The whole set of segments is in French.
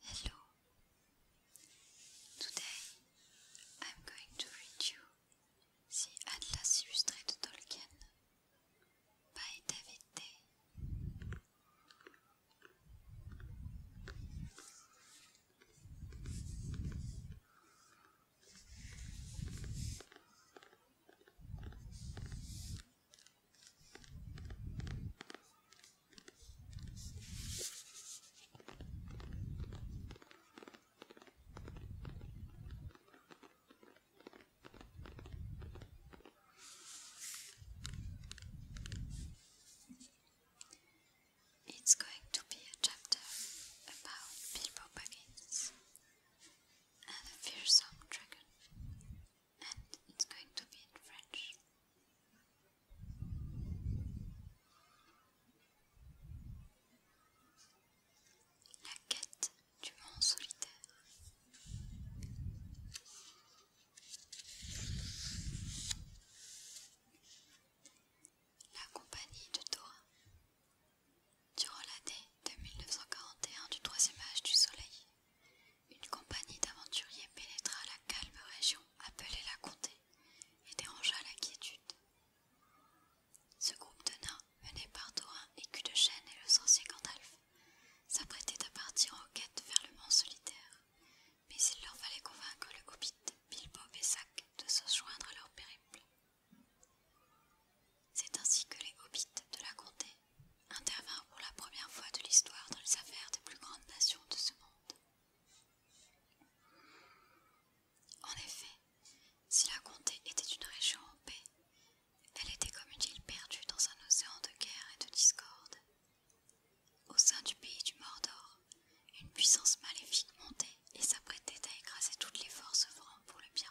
Hello. Today I'm going to read you The Atlas Illustrated Tolkien by David Day. It's going to be a chapter about people bargains. and the fearsome dragon, and it's going to be in French. La quête du mont solitaire. La compagnie de Dora Durant l'année de 1941 du troisième âge du Soleil, une compagnie d'aventuriers pénétra la calme région appelée la Comté et dérangea la quiétude. Ce groupe de nains, menés par Dorin, Écu de Chêne et le sorcier Gandalf, s'apprêtait à partir en quête vers le Mont Solitaire, mais il leur fallait convaincre le hobbit Bilbo Bessac de se joindre à leur périple. C'est ainsi que les hobbits de la comté intervinrent pour la première fois de l'histoire dans les affaires des plus grandes nations de ce monde. En effet, si la comté était une région en paix, elle était comme une île perdue dans un océan de guerre et de discorde. Au sein du pays du Mordor, une puissance maléfique montait et s'apprêtait à écraser toutes les forces francs pour le bien.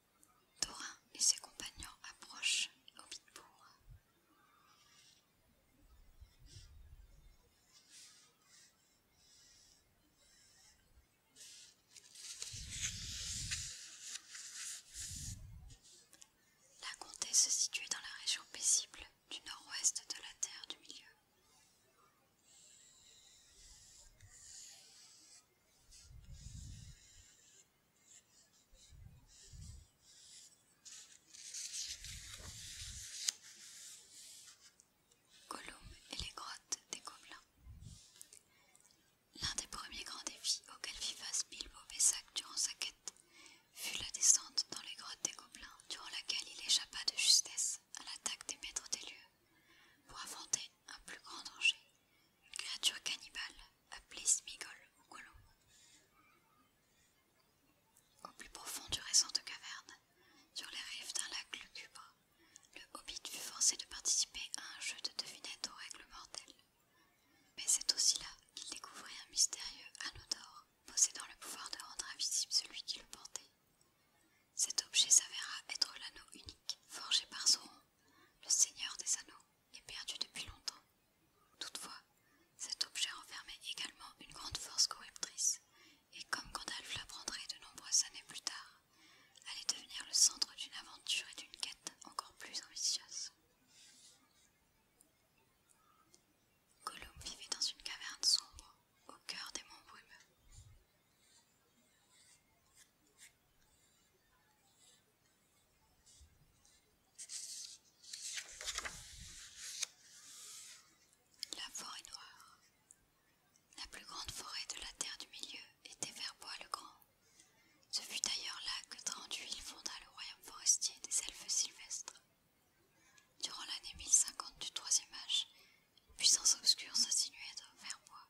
Dorin et ses compagnons approchent Hobbitbourg. La comté se situait dans la région paisible du nord-ouest de la terre du milieu. Gollum et les grottes des gobelins. L'un des premiers grands défis auxquels fit face Bilbo Bessac durant sa quête fut la descente dans les grottes des gobelins, durant laquelle il échappa de justesse à l'attaque des maîtres des lieux pour affronter un plus grand danger, une créature cannibale appelée Smigol ou Gollum. Au plus profond du récent de caverne, sur les rives d'un lac lugubre, le hobbit fut forcé de participer à un jeu de devinette aux règles mortelles. Mais c'est aussi là qu'il découvrit un mystérieux anneau d'or possédant le pouvoir de rendre invisible celui qui le portait. Cet objet s'avéra être l'anneau unique forgé par Sauron le Seigneur des Anneaux, est perdu depuis longtemps. Toutefois, cet objet renfermait également une grande force corruptrice, et comme Gandalf l'apprendrait de nombreuses années plus tard, allait devenir le centre d'une aventure et d'une quête encore plus ambitieuses. Gollum vivait dans une caverne sombre, au cœur des monts brumeux. La forêt noire. La plus grande forêt de la terre du milieu était Verbois le Grand. Ce fut d'ailleurs là que Tranduil fonda le royaume forestier des elfes sylvestres. Durant l'année 1050 du troisième âge, une puissance obscure s'insinuait dans Verbois.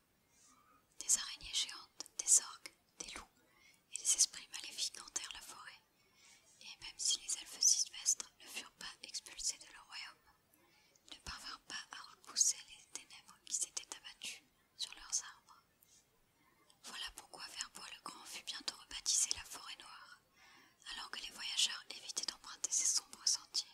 Des araignées géantes, des orgues, des loups et des esprits maléfiques hantèrent la forêt, et même si les elfes sylvestres ne furent pas expulsés de leur royaume, ne parvinrent pas à repousser les ténèbres qui s'étaient abattues sur leurs arbres. Voilà pourquoi Verbois le Grand fut bientôt rebaptisé la forêt noire, alors que les voyageurs évitaient d'emprunter ces sombres sentiers.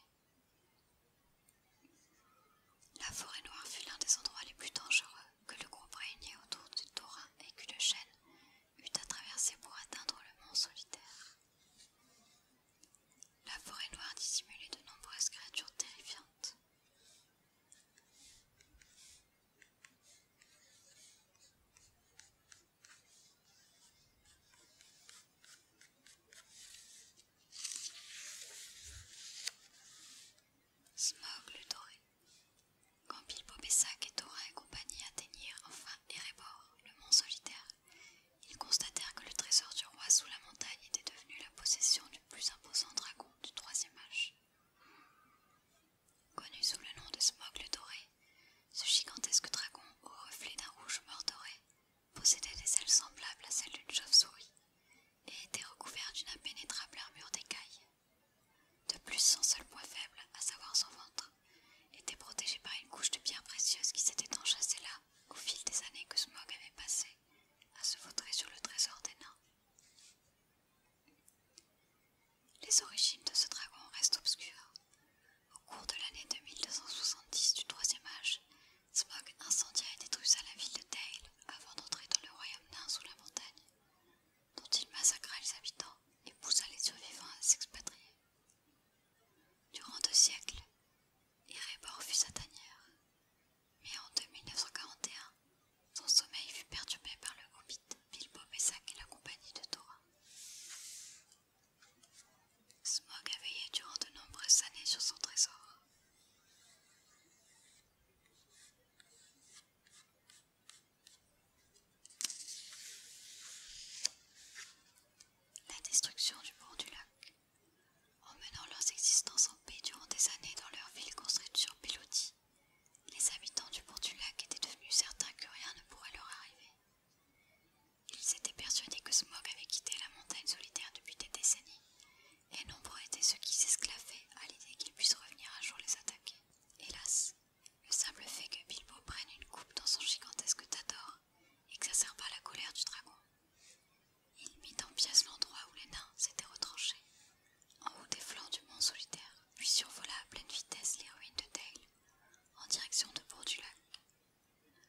La forêt noire fut l'un des endroits les plus dangereux que le groupe réuni autour du Torah et que le chêne eut à traverser pour atteindre le mont solitaire. La forêt noire dissimulait de nombreuses créatures terrifiantes. Smog doré. Quand Bilbo Bessac et Thorin et compagnie atteignirent enfin Erebor, le mont solitaire, ils constatèrent que le trésor du roi sous la montagne était devenu la possession du plus imposant dragon du troisième âge. Connu sous le nom de Smogle doré, ce gigantesque dragon, au reflet d'un rouge mort doré, possédait des ailes semblables à celles d'une chauve-souris et était recouvert d'une impénétrable armure d'écailles. De plus, son seul point faible, à savoir son ventre, était protégé par une couche de pierres précieuse qui s'était enchâssée là au fil des années que Smog avait passées à se vautrer sur le trésor des nains. Les origines de ce dragon restent obscures. Au cours de l'année 2270 du Troisième Âge, Smog incendia et détruisa la ville de Dale avant d'entrer dans le royaume nain sous la montagne, dont il massacra les habitants et poussa les survivants à s'expatrier. Durant deux siècles, Erebor fut sa tanière, mais en 2941, son sommeil fut perturbé par le hobbit Bilbo Bessac et la compagnie de Thora. Smog a veillé durant de nombreuses années sur son trésor. La destruction du pont du lac, menant leurs existences en paix durant des années dans leur ville construite sur pilotis, les habitants du pont du lac étaient devenus certains que rien ne pourrait leur arriver. Ils étaient persuadés que Smog avait quitté la montagne solitaire depuis des décennies, et nombreux étaient ceux qui s'esclaffaient à l'idée qu'il puisse revenir un jour les attaquer. Hélas, le simple fait que Bilbo prenne une coupe dans son gigantesque Tator exacerba la colère du dragon. Il mit en pièces l'endroit où les nains s'étaient retranchés, en haut des flancs du mont solitaire, puis survola à pleine vitesse les ruines de Dale, en direction de Bord du Lac.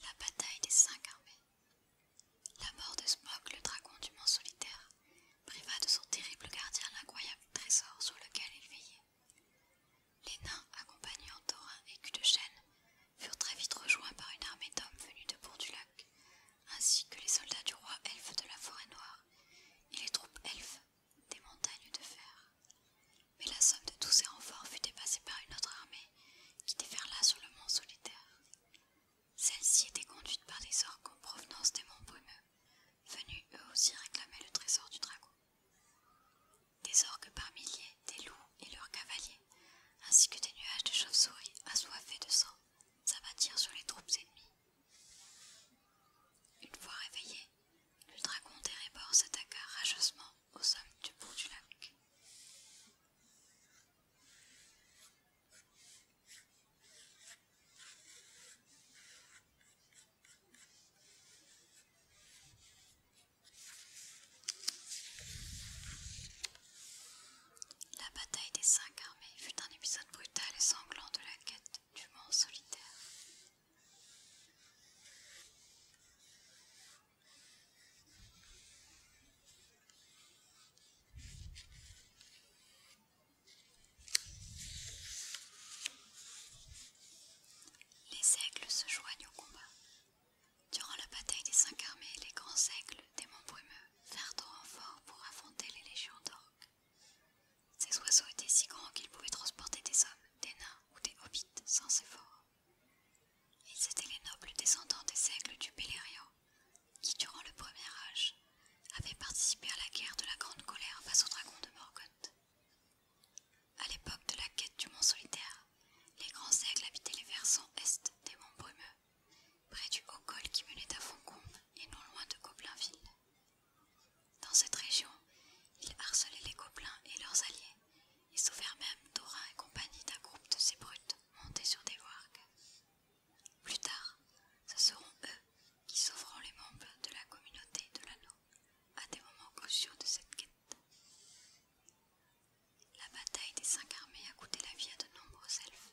La bataille des cinq armées. La mort de Smog, le dragon du Mans solitaire, priva de son terrible gardien l'incroyable trésor sur lequel il veillait. Les nains, accompagnant Thorin et Cul de Chêne, furent très vite rejoints par une armée d'hommes venus de Bourg-du-Lac, ainsi que les soldats du roi elfe de la forêt noire, et les troupes elfes des montagnes de fer. Mais la somme de tous ces renforts fut dépassée par une autre armée qui déferla sur le mont solitaire. Celle-ci était conduite par des orques en provenance des monts brumeux, venus eux aussi réclamer le trésor du dragon. Des orques par milliers, des loups et leurs cavaliers, ainsi que des nuages de chauves-souris assoiffés de sang, s'abattirent sur les troupes ennemies. Une fois réveillé, le dragon rébords s'attaqua rageusement au hommes du bout du lac. La bataille des cinq armées fut un épisode brutal et sanglant de la quête du solitaire. Les aigles se joignent au combat. Durant la bataille des cinq armées, les grands aigles des monts brumeux vinrent au renfort pour affronter les légions d'or. Ces oiseaux étaient si grands qu'ils pouvaient transporter des hommes, des nains ou des hobbits sans effort. Ils étaient les nobles descendants des aigles du Beleriand, qui, durant le Premier Âge, avaient participé à la guerre de la Grande Colère face au dragon de Morgoth. À l'époque de la quête du Mont Solitaire, les grands aigles habitaient les versants est des monts brumeux, près du haut col qui menait à Foncon et non loin de Gobelinville. Dans cette région, ils harcelaient les gobelins et leurs alliés, et sauvèrent même d'Orin et compagnie d'un groupe de ces brutes montés sur des wargs. Plus tard, ce seront eux qui sauveront les membres de la communauté de l'anneau à des moments cruciaux de cette quête. La bataille des cinq armées a coûté la vie à de nombreux elfes.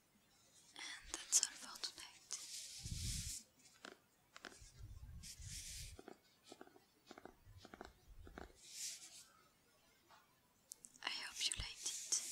And that's all for tonight. I hope you liked it.